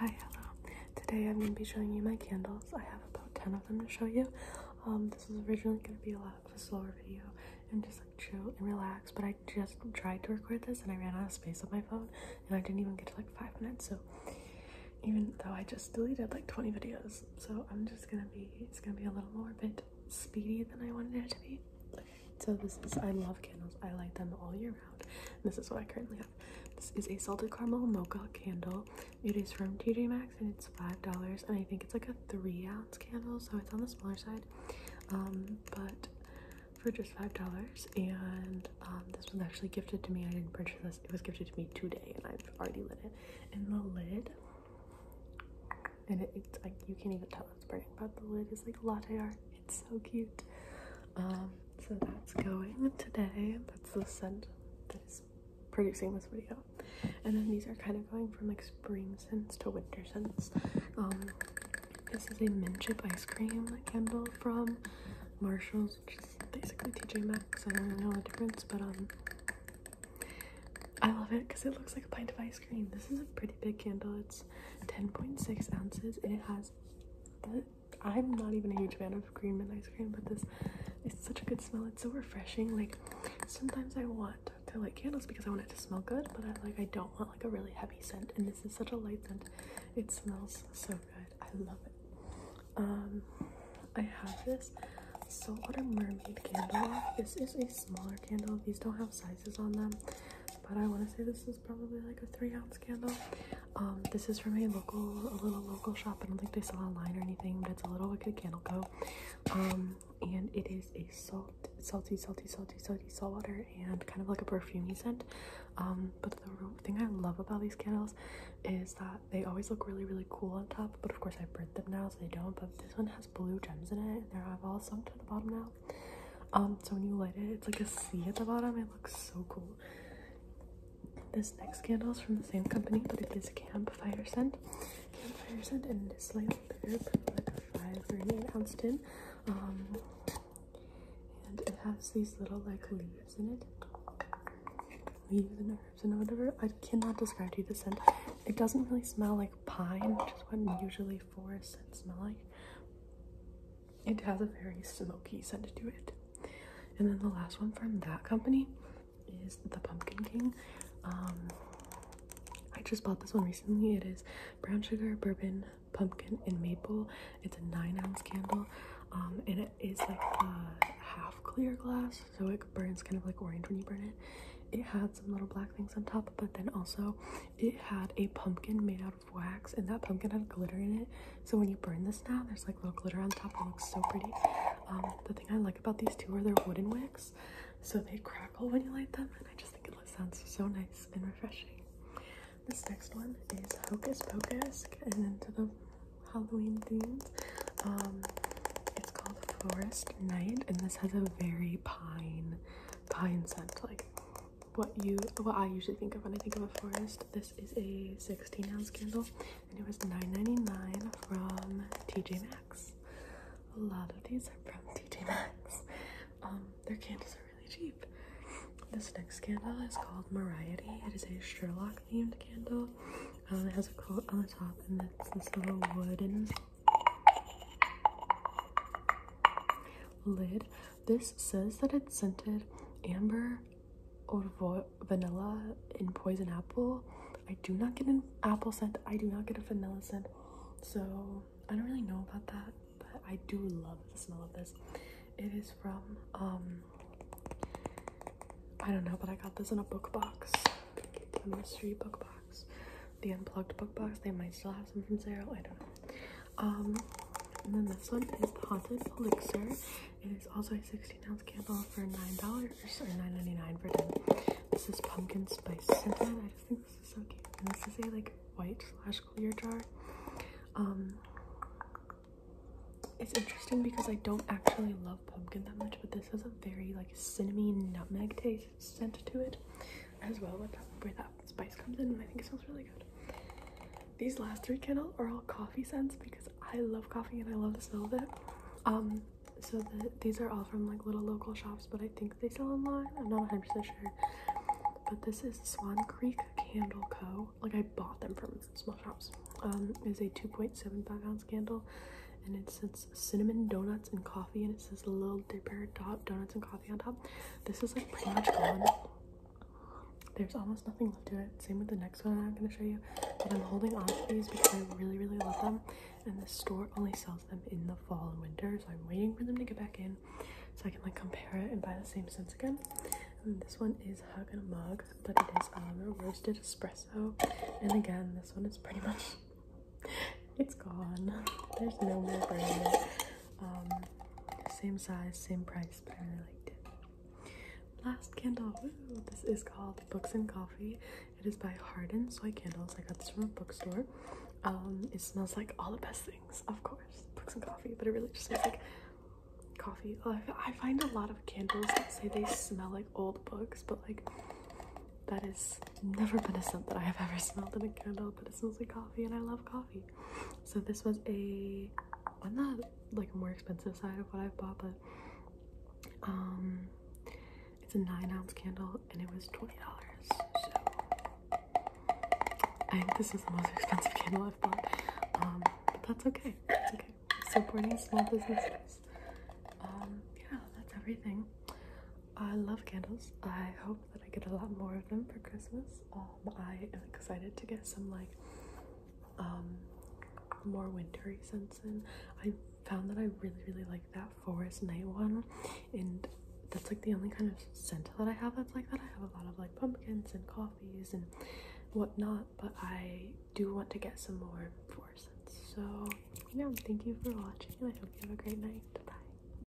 Hi, hello. Today I'm going to be showing you my candles. I have about 10 of them to show you. Um, this was originally going to be a lot of a slower video and just like chill and relax, but I just tried to record this and I ran out of space on my phone and I didn't even get to like 5 minutes, so even though I just deleted like 20 videos, so I'm just going to be, it's going to be a little more a bit speedy than I wanted it to be. So this is, I love candles. I light them all year round. This is what I currently have. This is a salted caramel mocha candle. It is from TJ Maxx and it's $5. And I think it's like a three ounce candle, so it's on the smaller side. Um, but for just $5. And um, this was actually gifted to me. I didn't purchase this, it was gifted to me today, and I've already lit it. And the lid and it's like you can't even tell it's burning but the lid is like latte art it's so cute um, so that's going today. That's the scent that is producing this video. And then these are kind of going from like spring scents to winter scents. Um, this is a mint chip ice cream candle from Marshalls, which is basically TJ Maxx. I don't really know the difference, but um, I love it because it looks like a pint of ice cream. This is a pretty big candle. It's 10.6 ounces and it has the I'm not even a huge fan of green mint ice cream, but this is such a good smell. It's so refreshing. Like sometimes I want to like candles because I want it to smell good, but I like I don't want like a really heavy scent. And this is such a light scent. It smells so good. I love it. Um, I have this saltwater mermaid candle. This is a smaller candle. These don't have sizes on them, but I want to say this is probably like a three ounce candle. Um, this is from a local, a little local shop. I don't think they sell online or anything, but it's a little wicked candle co. Um, and it is a salt, salty, salty, salty, salty salt water and kind of like a perfumy scent. Um, but the thing I love about these candles is that they always look really, really cool on top. But of course, I burnt them now, so they don't. But this one has blue gems in it, they're all sunk to the bottom now. so when you light it, it's like a sea at the bottom. It looks so cool. This next candle is from the same company, but it is campfire scent. Campfire scent, and it is slightly bigger, but like a five or an eight ounce tin. Um, and it has these little like leaves in it, leaves and herbs and whatever. I cannot describe to you the scent. It doesn't really smell like pine, which is what usually forest scents smell like. It has a very smoky scent to it. And then the last one from that company is the Pumpkin King. Um, I just bought this one recently. It is brown sugar, bourbon, pumpkin, and maple. It's a nine ounce candle. Um, and it is like a half clear glass, so it burns kind of like orange when you burn it. It had some little black things on top, but then also it had a pumpkin made out wax and that pumpkin has glitter in it. So when you burn this now, there's like little glitter on top. It looks so pretty. Um, the thing I like about these two are they're wooden wicks. So they crackle when you light them. And I just think it sounds so nice and refreshing. This next one is Hocus Pocus. And into the Halloween themes. Um, it's called Forest Night. And this has a very pine, pine scent. Like what you what I usually think of when I think of a forest. This is a 16 ounce candle and it was $9.99 from TJ Maxx. A lot of these are from TJ Maxx. Um, their candles are really cheap. This next candle is called Mariety. It is a Sherlock themed candle. Um, it has a quote on the top and it's this little wooden lid this says that it's scented amber vanilla and poison apple. I do not get an apple scent. I do not get a vanilla scent. So I don't really know about that, but I do love the smell of this. It is from, um, I don't know, but I got this in a book box, a mystery book box, the unplugged book box. They might still have some from Sarah. I don't know. Um, and then this one is Haunted Elixir. It is also a 16 ounce candle for $9 or $9.99 for 10 This is pumpkin spice scented. I just think this is so cute. And this is a like white slash clear jar. Um, it's interesting because I don't actually love pumpkin that much, but this has a very like cinnamon nutmeg taste scent to it as well, With that spice comes in, and I think it smells really good. These last three candle are all coffee scents because I love coffee and I love the smell of it. Um, so these are all from like little local shops, but I think they sell online. I'm not 100 percent sure. But this is Swan Creek Candle Co. Like I bought them from small shops. Um, is a 2.75 ounce candle, and it says cinnamon donuts and coffee, and it says Little Dipper top donuts and coffee on top. This is like pretty much gone there's almost nothing left to it. Same with the next one I'm going to show you. But I'm holding on to these because I really, really love them. And the store only sells them in the fall and winter. So I'm waiting for them to get back in so I can like compare it and buy the same scents again. this one is Hug and a Mug, but it is um, roasted espresso. And again, this one is pretty much, it's gone. There's no more brand. Um, same size, same price, but I really liked it. Last candle, this is called Books and Coffee. It is by Hardin Soy Candles. I got this from a bookstore. Um, it smells like all the best things, of course, books and coffee, but it really just smells like coffee. Oh, I find a lot of candles that say they smell like old books, but like that has never been a scent that I have ever smelled in a candle, but it smells like coffee and I love coffee. So this was a on the like more expensive side of what I've bought, but um it's a nine ounce candle and it was twenty dollars. So I think this is the most expensive candle I've bought. Um but that's okay. It's okay. Supporting small businesses. Um yeah, that's everything. I love candles. I hope that I get a lot more of them for Christmas. Um, I am excited to get some like um, more wintery scents in. I found that I really, really like that forest night one, and that's like the only kind of scent that I have that's like that. I have a lot of like pumpkins and coffees and whatnot, but I do want to get some more forest scents. So, yeah, thank you for watching, I hope you have a great night. Bye.